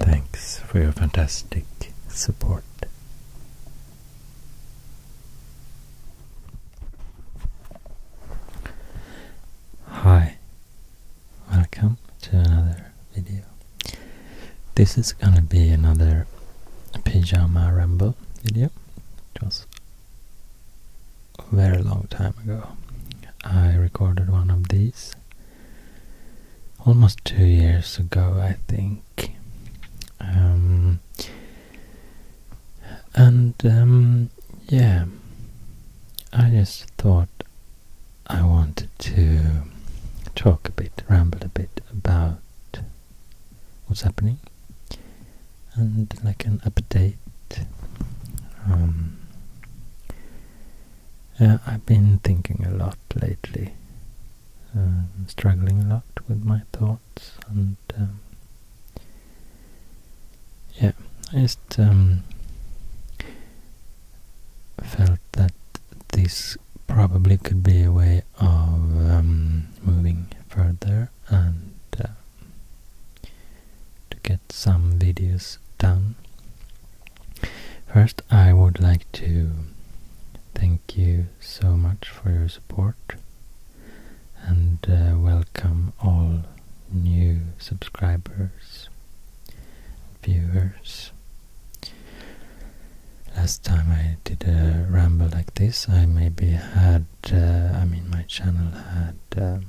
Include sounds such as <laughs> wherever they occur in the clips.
Thanks for your fantastic support. Hi, welcome to another video. This is gonna be another pyjama ramble video. It was a very long time ago. I recorded one of these almost two years ago, I think. Um, and um, yeah, I just thought I wanted to talk a bit, ramble a bit about what's happening and like an update. Um, I've been thinking a lot lately um, struggling a lot with my thoughts and um, yeah, I just um, felt that this probably could be a way of um, moving further and uh, to get some videos done First, I would like to thank you so much for your support and uh, welcome all new subscribers viewers. Last time I did a ramble like this, I maybe had, uh, I mean, my channel had um,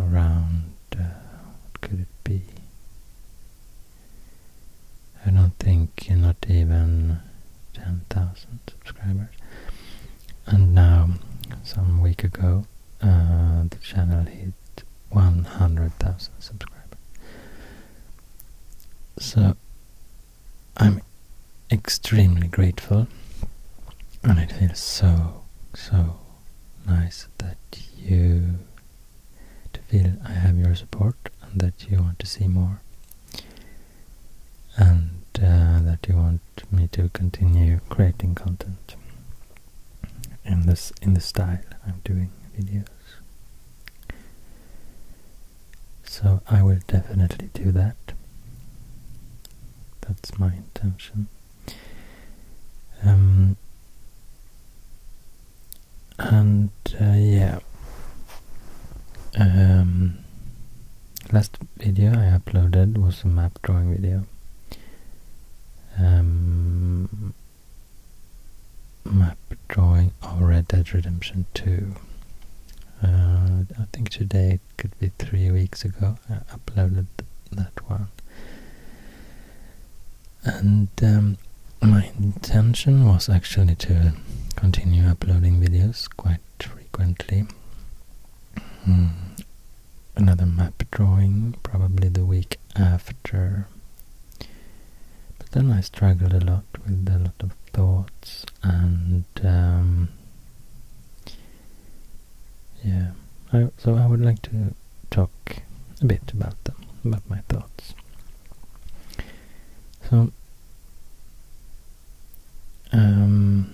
around, uh, what could it be? I don't think not even 10,000 subscribers. And now, some week ago, uh, the channel hit 100,000 subscribers. So, I'm extremely grateful and it feels so, so nice that you to feel I have your support and that you want to see more and uh, that you want me to continue creating content in this in the style I'm doing videos. So I will definitely do that. That's my intention. Um, and uh, yeah um, last video I uploaded was a map drawing video um, map drawing of Red Dead Redemption 2 uh, I think today it could be three weeks ago I uploaded that one and um, my intention was actually to continue uploading videos quite frequently. Hmm, another map drawing, probably the week after. But then I struggled a lot with a lot of thoughts and um, yeah. so I would like to talk a bit about them, about my thoughts. So, um,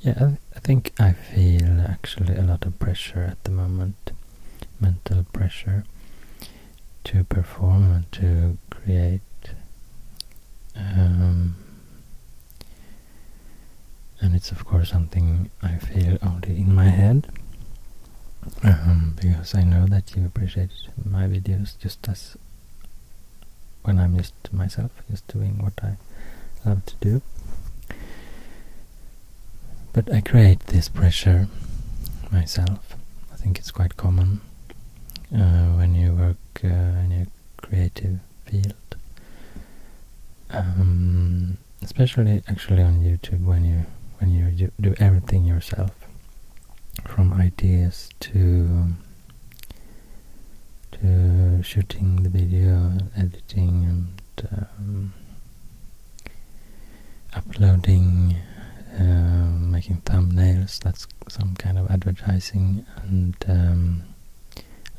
yeah, I, think I feel actually a lot of pressure at the moment, mental pressure to perform and to create. Um, and it's of course something I feel only in my head. Um, because I know that you appreciate my videos just as when I'm just myself, just doing what I love to do. But I create this pressure myself. I think it's quite common uh, when you work uh, in a creative field, um, especially actually on YouTube when you when you do everything yourself from ideas to to shooting the video, editing, and um, uploading, uh, making thumbnails. That's some kind of advertising and um,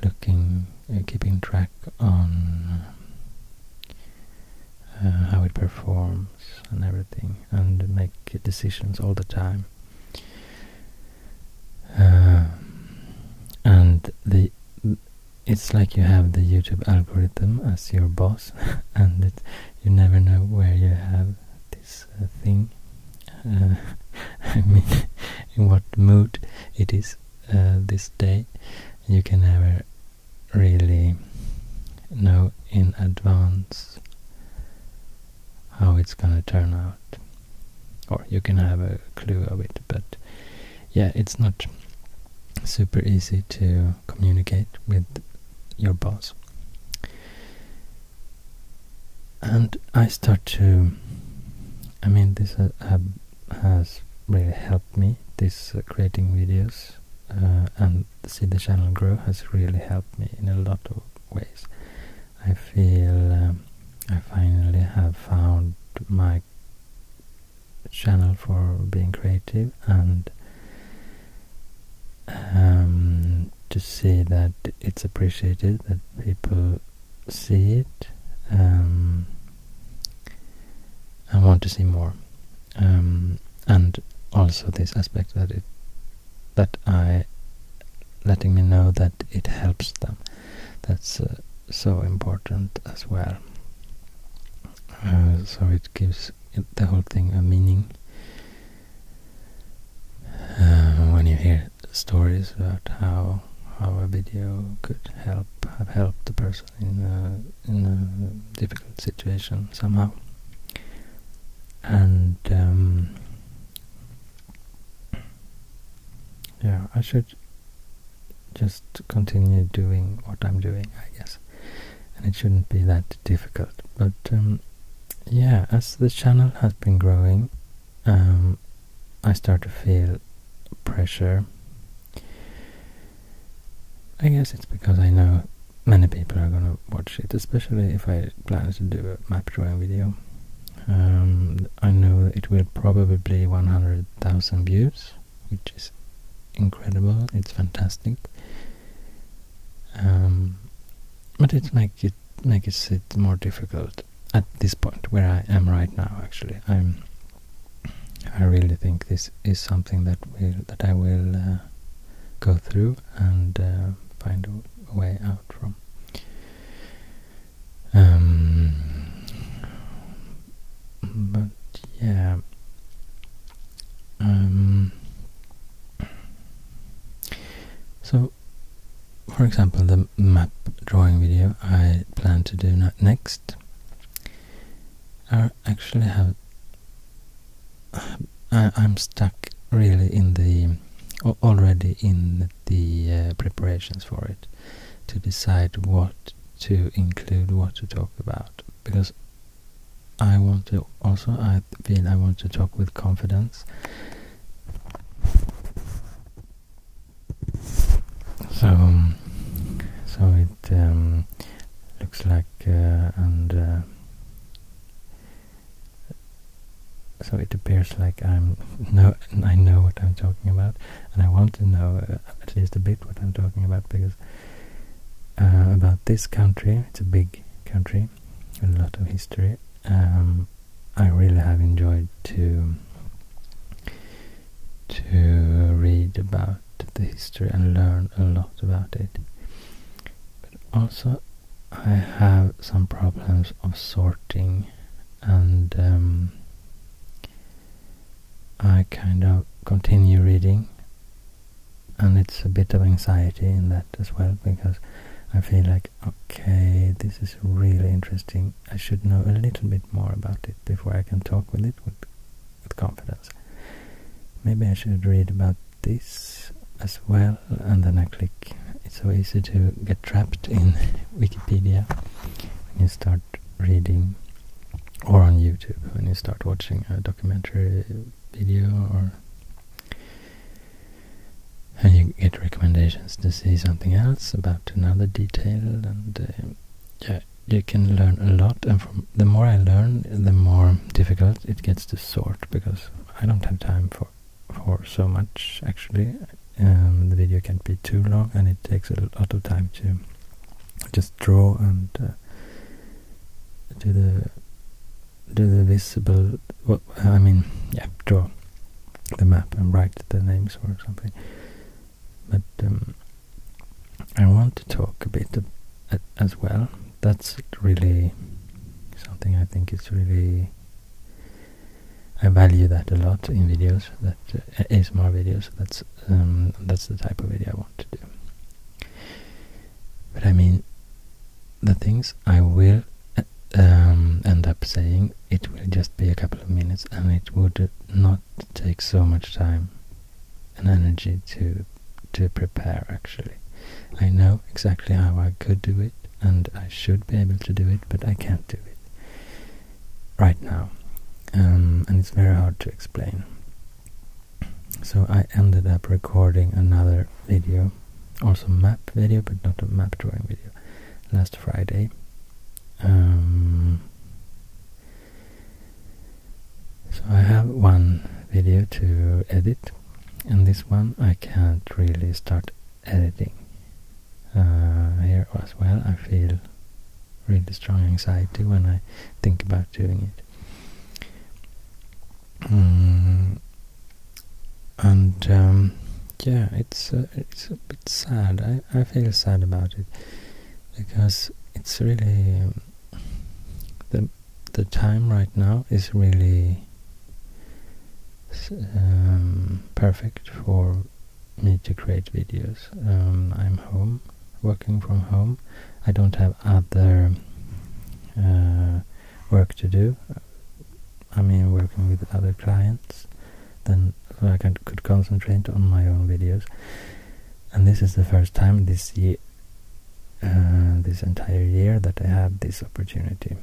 looking, uh, keeping track on uh, how it performs and everything, and make decisions all the time. Uh, and the it's like you have the YouTube algorithm as your boss, <laughs> and it, you never know where you have this uh, thing. <laughs> I mean, <laughs> in what mood it is this day. You can never really know in advance how it's gonna turn out or you can have a clue of it but yeah it's not super easy to communicate with your boss and I start to I mean this has really helped me this uh, creating videos uh, and see the channel grow has really helped me in a lot of ways. I feel um, I finally have found my channel for being creative and um, to see that it's appreciated, that people see it um, and want to see more. Um, and also this aspect that it that I letting me know that it helps them. That's uh, so important as well. Uh, so it gives the whole thing a meaning. Uh, when you hear stories about how how a video could help have helped the person in a, difficult situation somehow. And um, yeah, I should just continue doing what I'm doing, I guess. And it shouldn't be that difficult. But um, yeah, as the channel has been growing, um, I start to feel pressure I guess it's because I know many people are gonna watch it, especially if I plan to do a map drawing video. Um, I know it will probably be 100,000 views, which is incredible, it's fantastic. Um, but it make it make it more difficult at this point where I am right now. Actually, I'm. I really think this is something that will that I will uh, go through and uh, find a way out from. Um, but yeah, um, so for example, the map drawing video I plan to do next. Uh, actually have. I, am stuck really in the already in the uh, preparations for it to decide what to include, what to talk about, because I want to also I feel I want to talk with confidence. So, um, so um, looks like uh, and uh, so it appears like I'm <laughs> no I know what I'm talking about and I want to know uh, at least a bit what I'm talking about because about this country it's a big country with a lot of history um, I really have enjoyed to to read about the history and learn a lot about it but also I have some problems of sorting and um, I kind of continue reading and it's a bit of anxiety in that as well because I feel like okay this is really interesting I should know a little bit more about it before I can talk with it with confidence. Maybe I should read about this as well and then I click. It's so easy to get trapped in <laughs> Wikipedia when you start reading or on YouTube when you start watching a documentary video or and you get recommendations to see something else about another detail and uh, yeah you can learn a lot and from the more I learn, the more difficult it gets to sort because I don't have time for for so much actually. Um, the video can't be too long, and it takes a lot of time to just draw and uh, do the do the visible. I mean, yeah, draw the map and write the names or something. But um, I want to talk a bit as well. That's really something I think it's really I value that a lot in videos. That is uh, videos. That's um, that's the type of video I want to do. But I mean, the things I will uh, um, end up saying, it will just be a couple of minutes, and it would not take so much time an energy to to prepare actually. I know exactly how I could do it and I should be able to do it, but I can't do it right now. Um, and it's very hard to explain. So I ended up recording another video, also map video, but not a map drawing video, last Friday. Um, so I have one video to edit and this one I can't really start editing uh, here as well. I feel really strong anxiety when I think about doing it. Mm, and um, yeah, it's uh, it's a bit sad. I, I feel sad about it because it's really um, the the time right now is really um, perfect for me to create videos. Um, I'm home, working from home. I don't have other uh, work to do. I mean, working with other clients, then I can, could concentrate on my own videos. And this is the first time this year, uh, this entire year that I had this opportunity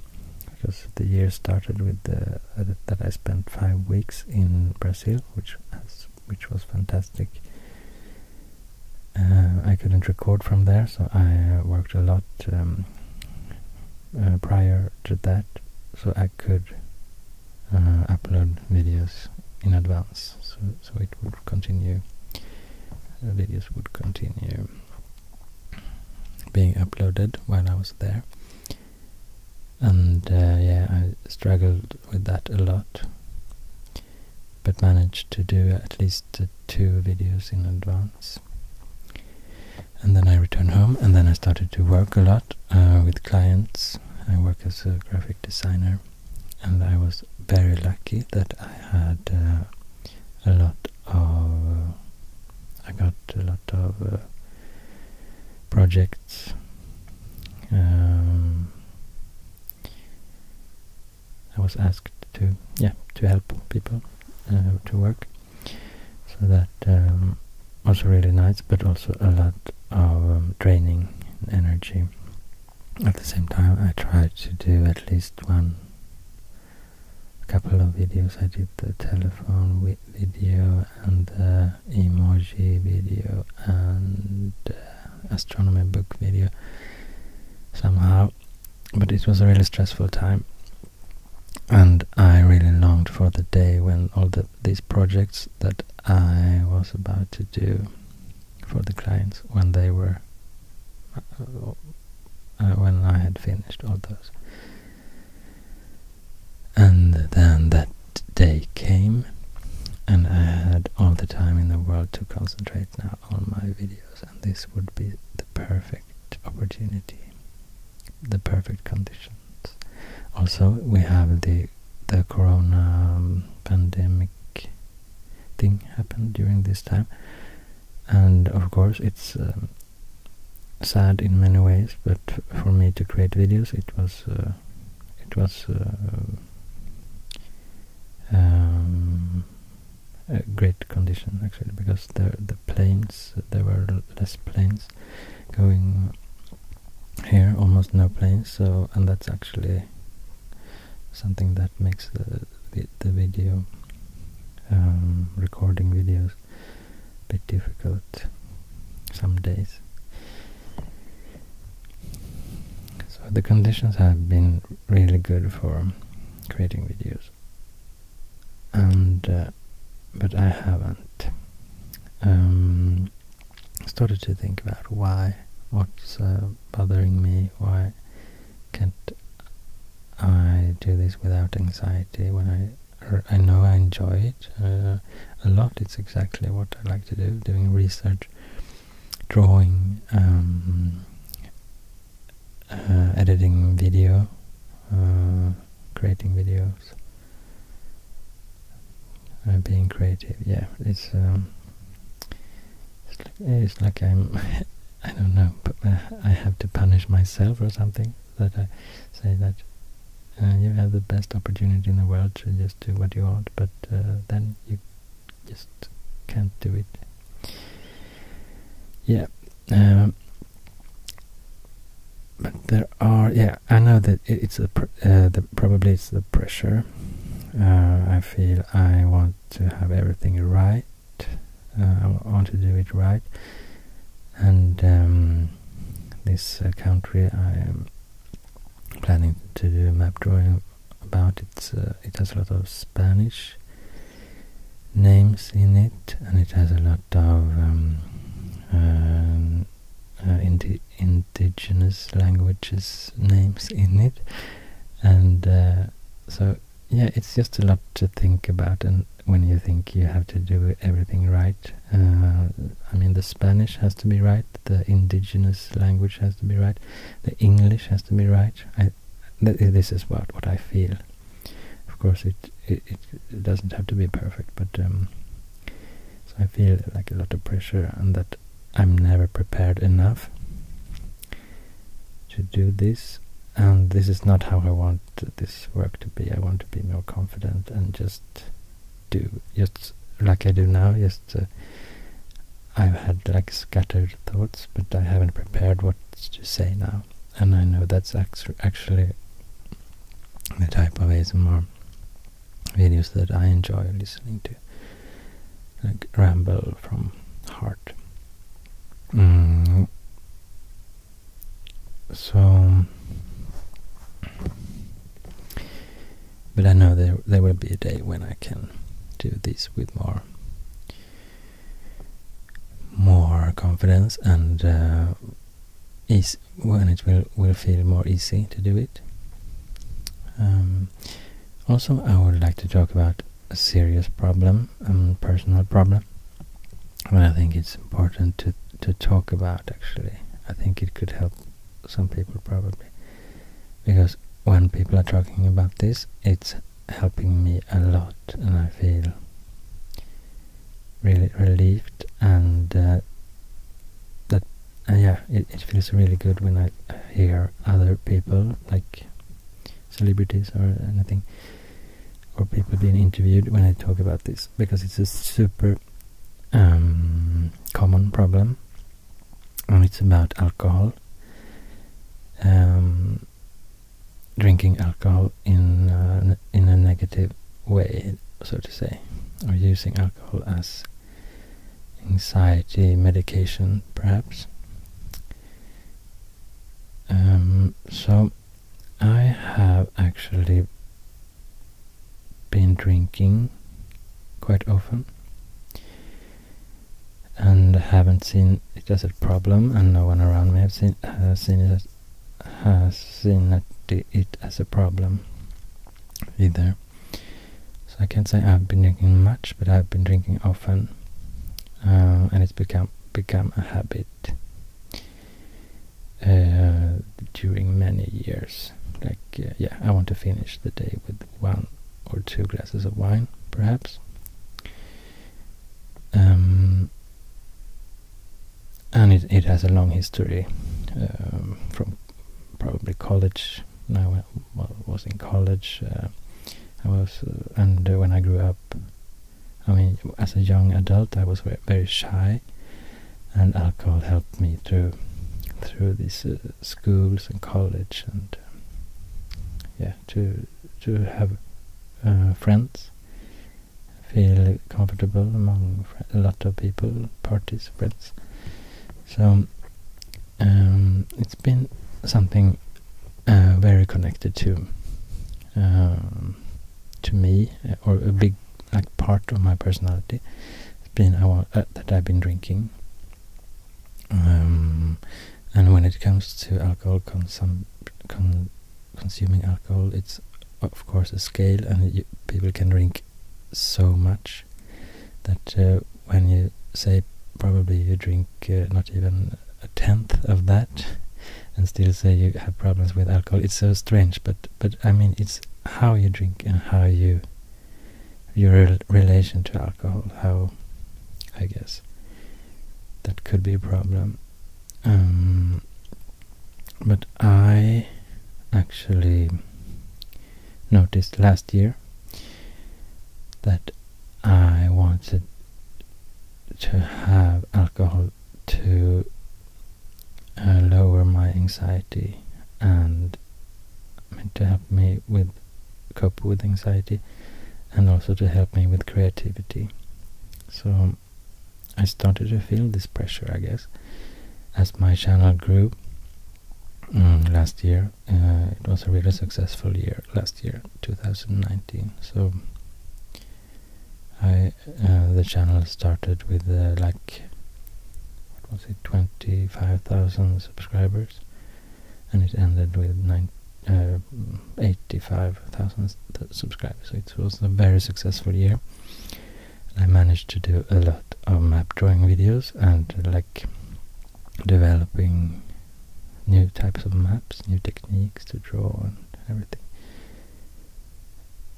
because the year started with the, uh, that I spent five weeks in Brazil, which was fantastic. Uh, I couldn't record from there, so I worked a lot um, prior to that, so I could upload videos in advance, so so it would continue uh, videos would continue being uploaded while I was there and uh, yeah I struggled with that a lot but managed to do at least uh, two videos in advance and then I returned home and then I started to work a lot uh, with clients I work as a graphic designer and I was very lucky that I had uh, a lot of. Uh, I got a lot of uh, projects. Um, I was asked to, yeah, to help people to work, so that um, was really nice, but also a lot of um, training and energy at the same time I tried to do at least one a couple of videos. I did the telephone video and the emoji video and uh, astronomy book video somehow but it was a really stressful time and I really longed for the day when all the, these projects that I was about to do for the clients when they were uh, uh, when I had finished all those. And then that day came, and I had all the time in the world to concentrate now on my videos, and this would be the perfect opportunity, the perfect conditions. Also, we have the the corona um, pandemic thing happened during this time. And of course, it's um, sad in many ways, but for me to create videos, it was uh, it was uh, um, a great condition actually because the the planes there were less planes going here, almost no planes. So and that's actually something that makes the the, video um, recording videos a bit difficult some days. So the conditions have been really good for creating videos, and uh, but I haven't um, started to think about why, what's uh, bothering me, why can't I do this without anxiety when I I know I enjoy it uh, a lot. It's exactly what I like to do, doing research, drawing, um, uh, editing video, uh, creating videos, being creative. Yeah, it's um, it's like, <laughs> I don't know, but uh, I have to punish myself or something. That I say that uh, you have the best opportunity in the world to just do what you want, but uh, then you just can't do it. Yeah. Um, but there are, yeah, I know that it's the, probably it's the pressure. I feel I want to have everything right uh, I want to do it right and um, this uh, country I am planning to do a map drawing about it's uh, it has a lot of Spanish names in it and it has a lot of um, um, indigenous languages names in it and so yeah, it's just a lot to think about, and when you think you have to do everything right, uh, I mean, the Spanish has to be right, the indigenous language has to be right, the English has to be right. I, this is what what I feel. Of course, it it, it doesn't have to be perfect, but um, so I feel like a lot of pressure, and that I'm never prepared enough to do this and this is not how I want this work to be. I want to be more confident and just do just like I do now. Just uh, I've had like scattered thoughts, but I haven't prepared what to say now, and I know that's actually the type of ASMR videos that I enjoy listening to, like ramble from heart. Mm. So, but I know there there will be a day when I can do this with more more confidence and is uh, when it will will feel more easy to do it. Um, also, I would like to talk about a serious problem, a um, personal problem. And I think it's important to, to talk about actually. I think it could help some people probably. Because when people are talking about this, it's helping me a lot and I feel really relieved and uh, that uh, yeah it feels really good when I hear other people like celebrities or anything or people being interviewed when I talk about this because it's a super um, common problem and it's about alcohol um, drinking alcohol in uh, in a negative way so to say or using alcohol as anxiety medication perhaps um, so I have actually been drinking quite often and haven't seen it as a problem and no one around me has seen it as a problem either so I can't say I've been drinking much but I've been drinking often uh, and it's become become a habit uh, during many years. Like uh, yeah, I want to finish the day with one or two glasses of wine, perhaps. Um, and it, it has a long history um, from probably college now well, was in college. Uh, I was, uh, and uh, when I grew up, I mean, as a young adult, I was very shy, and alcohol helped me through through these schools and college, and yeah, to to have friends, feel comfortable among a lot of people, parties, friends. So um, it's been something uh, very connected to um, to me uh, or a big like part of my personality. been uh, that I've been drinking. Um, and when it comes to alcohol consum consuming alcohol, it's of course a scale, and people can drink so much that when you say probably you drink not even a tenth of that and still say you have problems with alcohol. It's so strange, but but I mean, it's how you drink and how you your relation to alcohol. How I guess that could be a problem. Um, but I actually noticed last year that I wanted to have alcohol to uh, lower my anxiety and to help me with cope with anxiety and also to help me with creativity. So I started to feel this pressure, I guess, as my channel grew mm, last year. Uh, it was a really successful year last year, 2019. So I uh, the channel started with uh, like what was it, 25,000 subscribers, and it ended with uh, 85,000 subscribers, so it was a very successful year. I managed to do a lot of map drawing videos and like developing new types of maps, new techniques to draw and everything.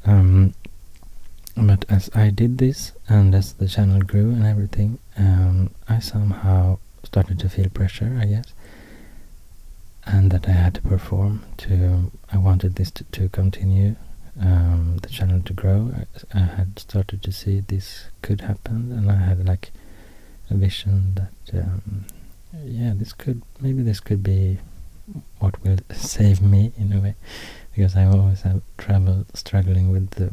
Um, but as I did this, and as the channel grew and everything, um, I somehow started to feel pressure, I guess, and that I had to perform. To I wanted this to, continue, um, the channel to grow. I had started to see this could happen, and I had like a vision that um, yeah, this could maybe this could be what will save me in a way, because I always have trouble struggling with the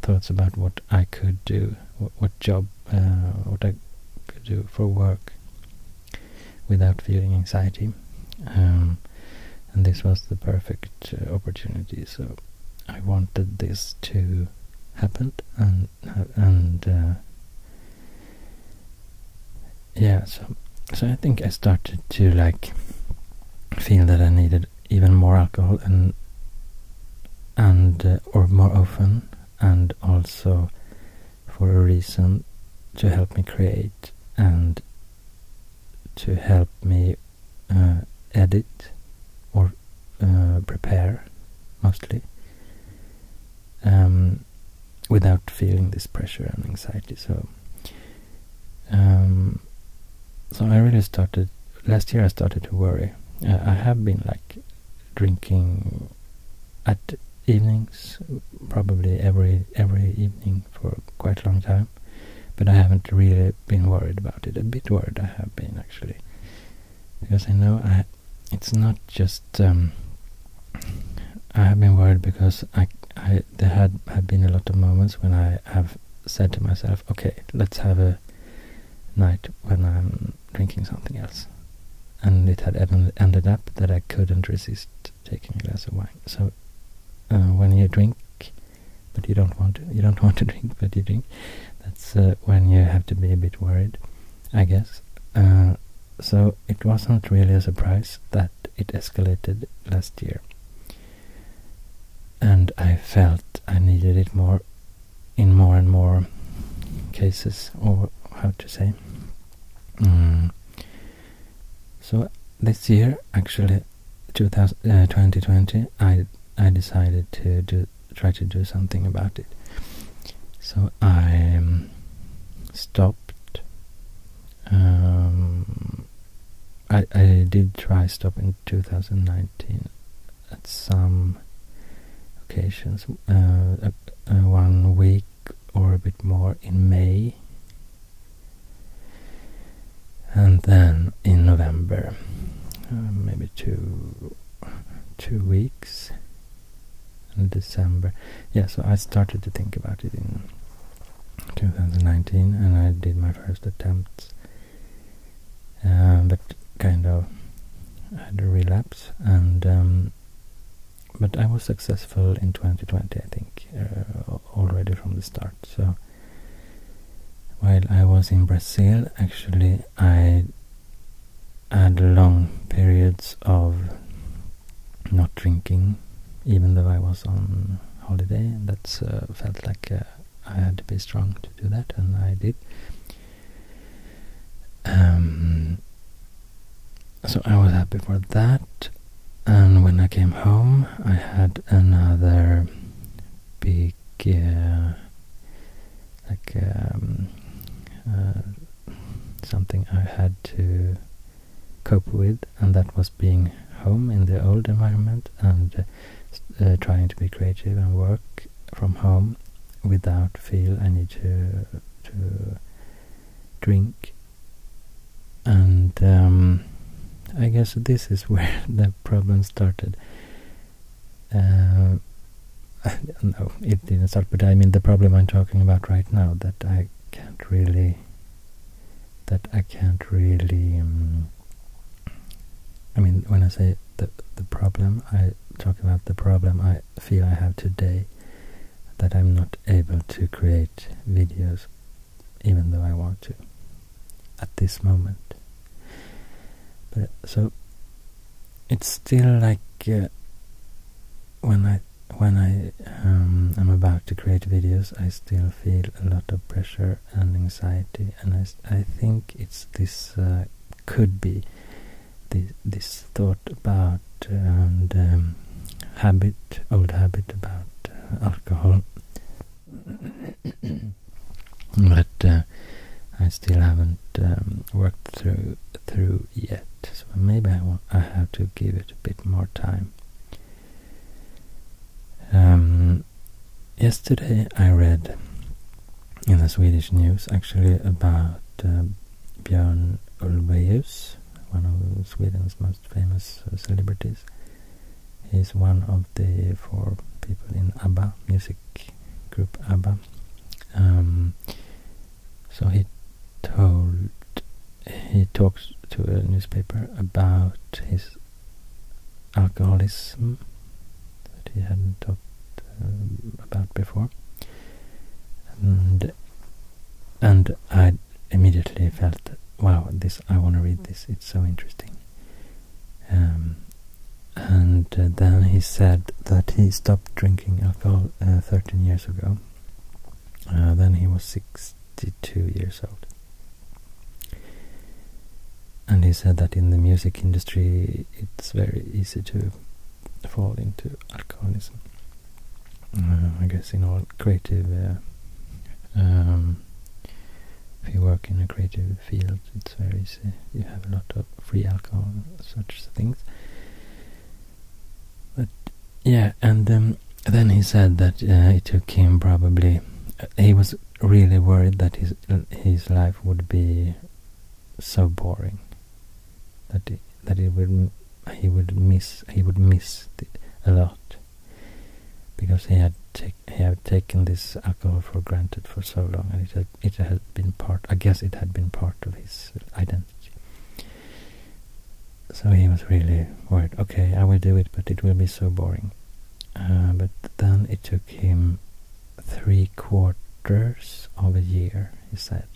thoughts about what I could do, what, job, uh, what I could do for work, without feeling anxiety. Um, and this was the perfect uh, opportunity, so I wanted this to happen, and and uh, yeah, so so I think I started to like feel that I needed even more alcohol and and uh, or more often and also for a reason to help me create and to help me uh, edit or uh, prepare mostly um, without feeling this pressure and anxiety so um, so I really started last year I started to worry I have been like drinking at evenings probably every every evening for quite a long time but I haven't really been worried about it a bit worried I have been actually because I know I it's not just um, I have been worried because I, there had have been a lot of moments when I have said to myself, okay, let's have a night when I'm drinking something else, and it had ended up that I couldn't resist taking a glass of wine. So uh, when you drink, but you don't want to, you don't <laughs> want to drink, but you drink. That's uh, when you have to be a bit worried. I guess. Uh, so it wasn't really a surprise that it escalated last year. And I felt I needed it more in more and more cases, or how to say. Mm. So this year, actually, 2000, 2020, uh, I I decided to do try to do something about it. So I um, stopped. Um, I did try stop in 2019 at some occasions, uh, one week or a bit more in May, and then in November, uh, maybe two two weeks December. Yeah, so I started to think about it in 2019 and I did my first attempts. Um, uh, but kind of had a relapse and um, but I was successful in 2020 I think uh, already from the start so while I was in Brazil actually I had long periods of not drinking, even though I was on holiday. That uh, felt like uh, I had to be strong to do that, and I did. Um, so I was happy for that. And when I came home, I had another big uh, like um, uh, something I had to cope with, and that was being home in the old environment and uh, uh, trying to be creative and work from home without feel I need to to drink and um, I guess this is <laughs> where the problem started uh, <laughs> no, it does not start, but I mean the problem I'm talking about right now that I can't really, that I can't really, um, I mean when I say the, the problem, I talk about the problem I feel I have today that I'm not able to create videos even though I want to at this moment. But so it's still like uh, when I when I um, am about to create videos, I still feel a lot of pressure and anxiety, and I, I think it's this uh, could be this this thought about um, habit, old habit about uh, alcohol, <coughs> but. I still haven't um, worked through through yet, so maybe I, want, I have to give it a bit more time. Um, yesterday I read in the Swedish news actually about uh, Björn Ulvaeus, one of Sweden's most famous uh, celebrities. He's one of the four people in ABBA, music group ABBA. Um, so he told he talks to a newspaper about his alcoholism that he hadn't talked um, about before, and and I immediately felt, wow, this I want to read this. It's so interesting. Um, and uh, then he said that he stopped drinking alcohol uh, 13 years ago. Uh, then he was 62 years old. And he said that in the music industry it's very easy to fall into alcoholism. I guess in all creative, uh, um, if you work in a creative field, it's very easy. You have a lot of free alcohol, such things. But yeah, and then he said that uh, it took him probably. Uh, he was really worried that his his life would be so boring that that it would he would miss he would miss a lot because he had he had taken this alcohol for granted for so long and it had it had been part, I guess it had been part of his identity. So he was really worried, okay, I will do it, but it will be so boring. Uh, but then it took him three quarters of a year, he said.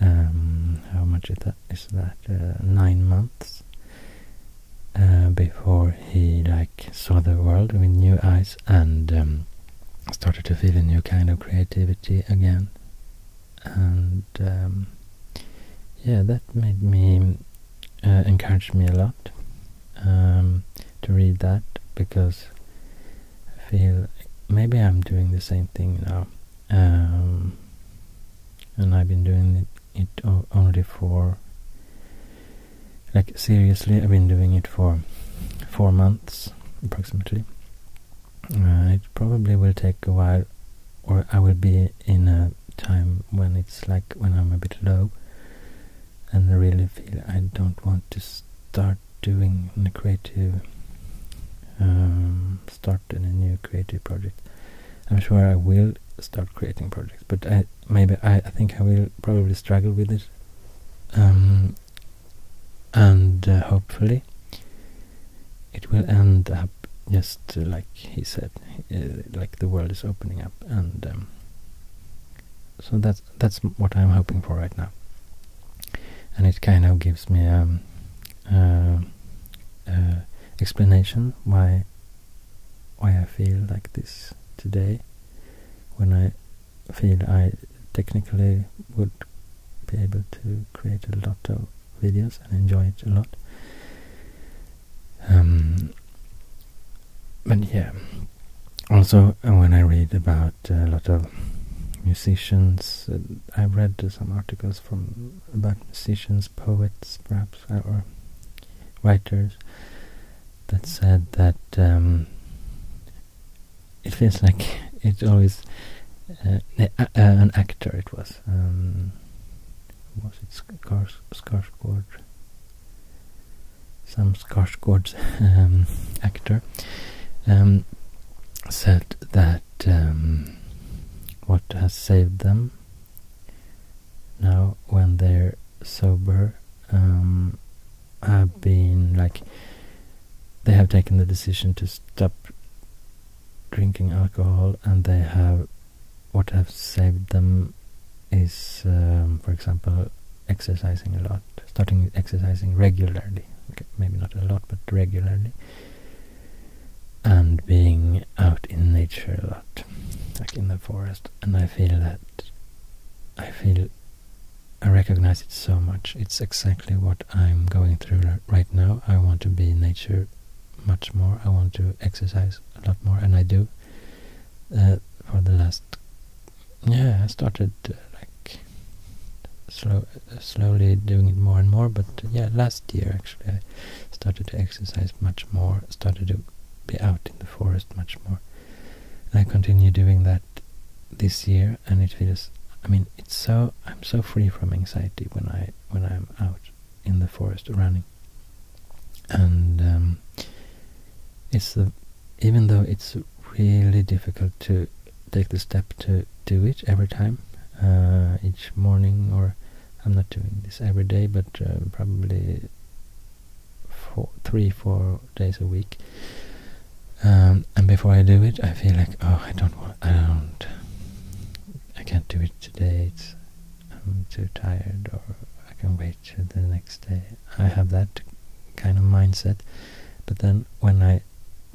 Um, how much is that? Is that uh, nine months uh, before he like saw the world with new eyes and um, I started to feel a new kind of creativity again, and um, yeah, that made me uh, encouraged me a lot um, to read that because I feel maybe I'm doing the same thing now, um, and I've been doing it only for like seriously, I've been doing it for four months approximately. Uh, it probably will take a while, or I will be in a time when it's like when I'm a bit low and I really feel I don't want to start doing a creative, um, start in a new creative project. I'm sure I will start creating projects, but I maybe I, think I will probably struggle with it um, and uh, hopefully it will end up just like he said uh, like the world is opening up and um, so that's that's what I'm hoping for right now and it kind of gives me um, uh, explanation why why I feel like this today when I feel I technically would be able to create a lot of videos and enjoy it a lot. Um, but yeah, also uh, when I read about a lot of musicians, uh, I read some articles from about musicians, poets, perhaps, or writers that said that um, it feels like it's always uh, an actor it was um, was it Skars Skarsgård some Skarsgård um, actor um, said that um, what has saved them now when they're sober um, have been like they have taken the decision to stop drinking alcohol and they have what have saved them is um, for example exercising a lot starting exercising regularly maybe not a lot but regularly and being out in nature a lot like in the forest and i feel that i feel I recognize it so much. It's exactly what I'm going through right now. I want to be nature much more. I want to exercise a lot more, and I do. Uh, for the last, yeah, I started uh, like slow, uh, slowly doing it more and more. But yeah, last year actually, I started to exercise much more. Started to be out in the forest much more, and I continue doing that this year, and it feels. I mean, it's so I'm so free from anxiety when I when I'm out in the forest running, and um, it's the even though it's really difficult to take the step to do it every time, uh, each morning, or I'm not doing this every day, but uh, three, four days a week. Um, and before I do it, I feel like oh, I don't want, I don't, I can't do it today. It's, I'm too tired, or I can wait till the next day. I have that kind of mindset, but then when I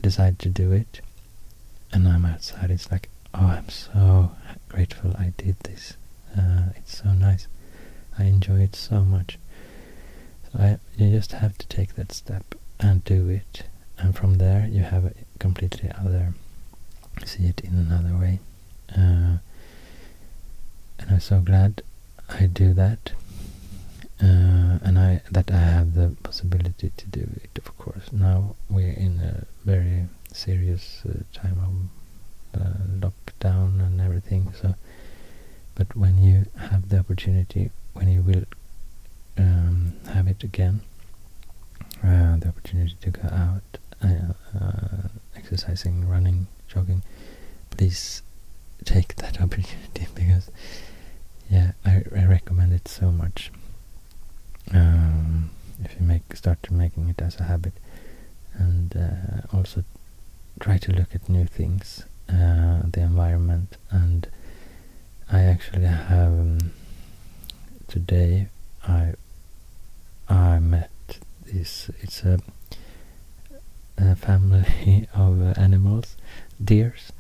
decide to do it, and I'm outside, it's like oh, I'm so grateful I did this. Uh, it's so nice. I enjoy it so much you just have to take that step and do it, and from there you have a completely other, see it in another way. Uh, and I'm so glad I do that, uh, and I that I have the possibility to do it. Of course, now we're in a very serious uh, time of lockdown and everything, so but when you have the opportunity, when you will um, have it again, uh, the opportunity to go out, uh, uh, exercising, running, jogging, please take that <laughs> opportunity because, yeah, I, recommend it so much. Um, if you make start making it as a habit, and also try to look at new things, the environment and I actually have um, today I I met this it's a, family <laughs> of uh, animals deers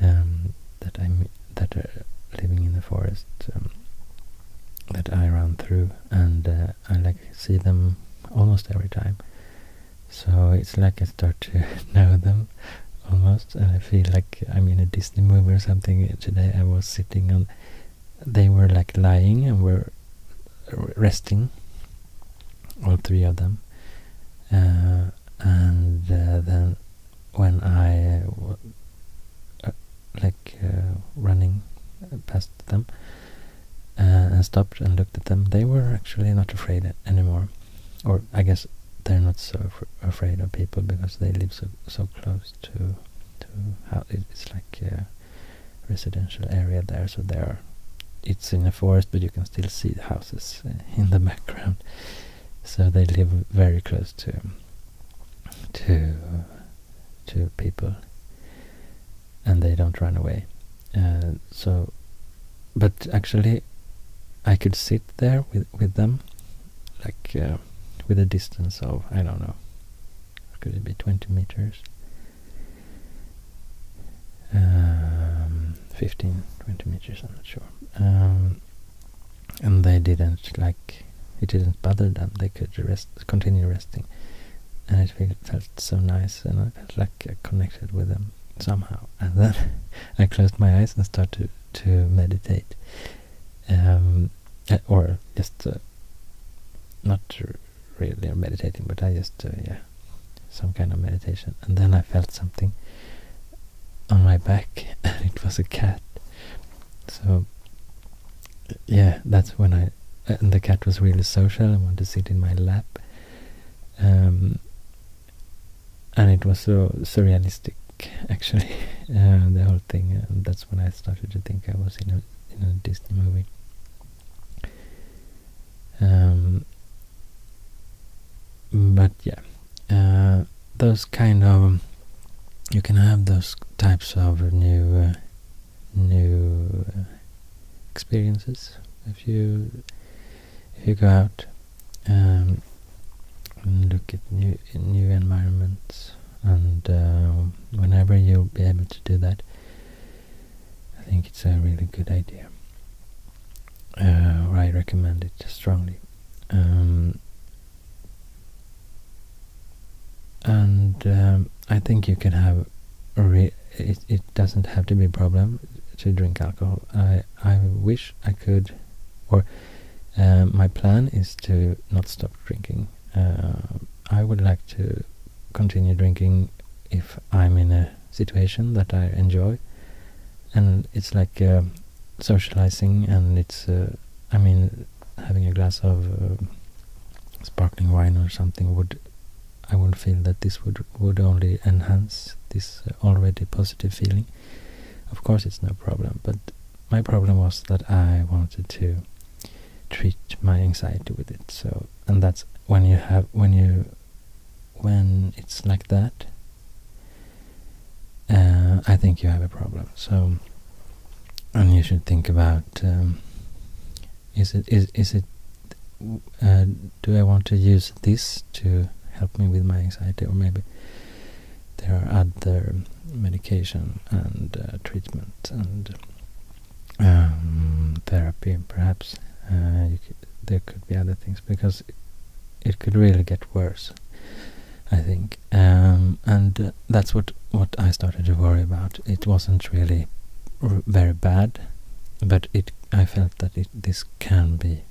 um, that I that are living in the forest um, that I run through and uh, I like see them almost every time so it's like I start to <laughs> know them almost and I feel like I'm in a Disney movie or something today I was sitting on they were like lying and were resting all three of them uh, and uh, then when I uh, like uh, running past them and stopped and looked at them they were actually not afraid anymore or I guess they're not so afraid of people because they live so so close to to how it's like a residential area there, so there it's in a forest, but you can still see houses uh, in the <laughs> background. So they live very close to to to people, and they don't run away. Uh, so but actually I could sit there with with them like uh, with a distance of I don't know could it be 20 meters um, 15 20 meters I'm not sure um, and they didn't like it didn't bother them they could rest continue resting and it felt so nice and I uh, felt like I connected with them somehow. And then <laughs> I closed my eyes and started to, meditate. Um, uh, or just uh, not really meditating, but I just, uh, yeah, some kind of meditation. And then I felt something on my back, <laughs> it was a cat. So, yeah, that's when I. And the cat was really social and wanted to sit in my lap. Um, and it was so realistic, actually <laughs> uh, the whole thing uh, that's when I started to think I was in a in a Disney movie um, but yeah uh, those kind of you can have those types of new uh, new experiences if you if you go out um, and look at new new environments, and uh, whenever you'll be able to do that, I think it's a really good idea. Uh, I recommend it strongly. Um, and um, I think you can have it, it doesn't have to be a problem to drink alcohol. I I wish I could, or uh, my plan is to not stop drinking. Uh, I would like to continue drinking if I'm in a situation that I enjoy, and it's like uh, socializing, and it's I mean having a glass of sparkling wine or something would I would feel that this would would only enhance this uh, already positive feeling. Of course, it's no problem, but my problem was that I wanted to treat my anxiety with it. So, and that's when you have when you when it's like that. Uh, I think you have a problem. So, and you should think about um, is it is is it uh, do I want to use this to help me with my anxiety, or maybe there are other medication and uh, treatment and um, therapy, perhaps. Uh, there could be other things because it, could really get worse. I think, um, and uh, that's what what I started to worry about. It wasn't really very bad, but it I felt that this can be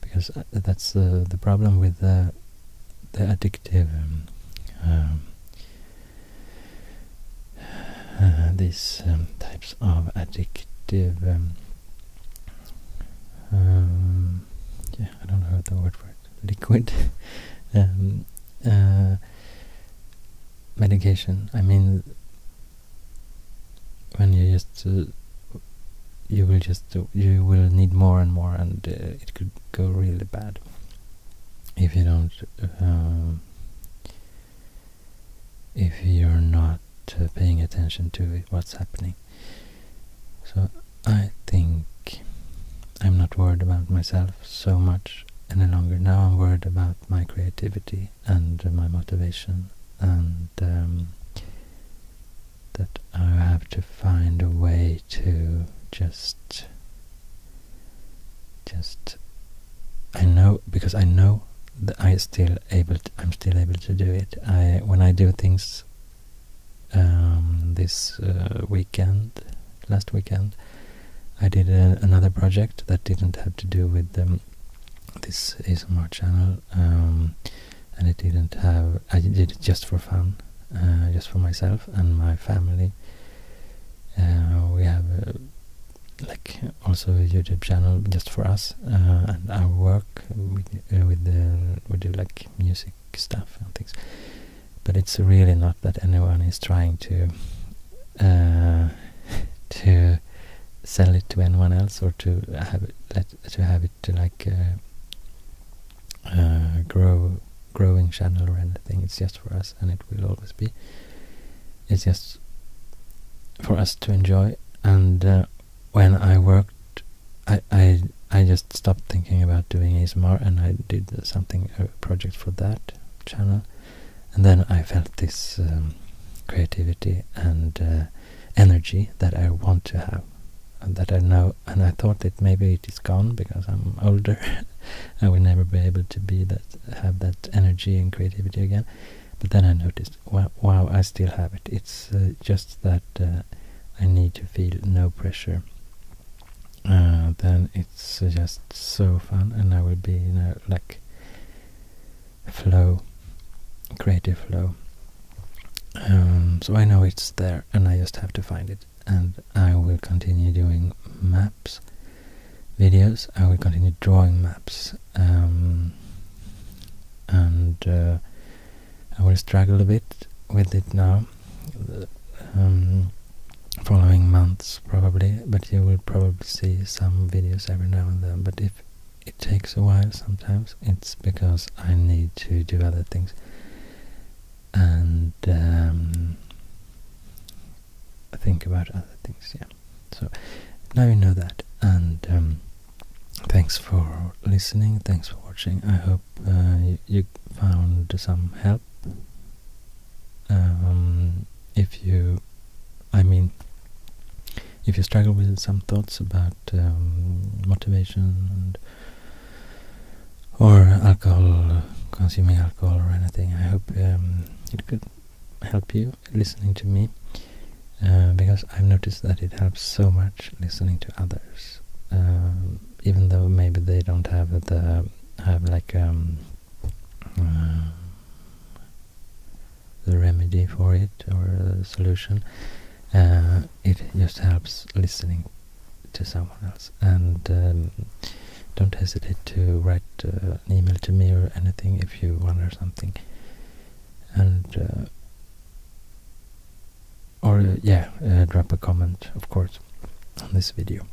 because uh, that's the the problem with the addictive um, um, uh, these um, types of addictive yeah I don't know the word for it liquid <laughs> uh, medication I mean when you just uh, you will just you will need more and more and uh, it could go really bad if you don't um, if you're not uh, paying attention to what's happening so i think i'm not worried about myself so much any longer now i'm worried about my creativity and my motivation and um, that I have to find a way to just just I know because I know that I still able to, I'm still able to do it. I when I do things um, this uh, weekend, last weekend, I did uh, another project that didn't have to do with um, this ASMR channel um, and it didn't have I did it just for fun uh, just for myself and my family uh, we have uh, like also a YouTube channel just for us and I work with the we like music stuff and things but it's really not that anyone is trying to <laughs> to sell it to anyone else or to have it to have it to like uh, uh, grow growing channel or anything. It's just for us, and it will always be. It's just for us to enjoy. And uh, when I worked, I I I just stopped thinking about doing ASMR, and I did something a project for that channel, and then I felt this um, creativity and energy that I want to have that I know and I thought that maybe it is gone because I'm <laughs> older I will never be able to be that have that energy and creativity again but then I noticed wow, I still have it it's uh, just that uh, I need to feel no pressure uh, then it's just so fun and I will be you know like flow, creative flow. Um, so I know it's there and I just have to find it and I will continue doing maps videos. I will continue drawing maps um, and uh, I will struggle a bit with it now uh, um, following months probably but you will probably see some videos every now and then but if it takes a while sometimes. It's because I need to do other things. And um, think about other things, yeah. So now you know that. And um, thanks for listening. Thanks for watching. I hope uh, you, found some help. Um, if you, I mean, if you struggle with some thoughts about um, motivation and or alcohol, consuming alcohol or anything, I hope um, it could help you listening to me uh, because I've noticed that it helps so much listening to others, uh, even though maybe they don't have the have like um, uh, the remedy for it or the solution. Uh, it just helps listening to someone else. And um, don't hesitate to write uh, an email to me or anything if you wonder something. And uh, or yeah, drop a comment, of course, on this video.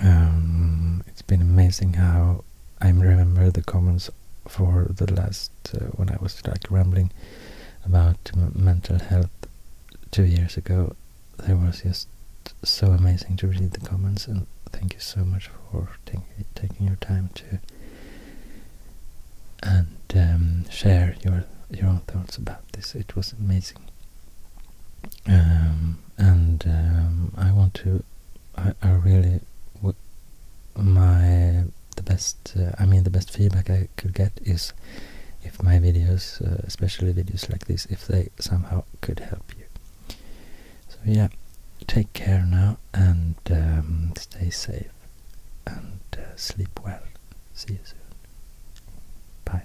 Um, it's been amazing how I remember the comments for the last uh, when I was like rambling about mental health two years ago. There was just so amazing to read the comments, and thank you so much for taking your time to and um, share your your own thoughts about this. It was amazing, um, and um, I want to I, I really my the best uh, I mean the best feedback I could get is if my videos, uh, especially videos like this, if they somehow could help you. So yeah, take care now and um, stay safe and uh, sleep well. See you soon. Bye.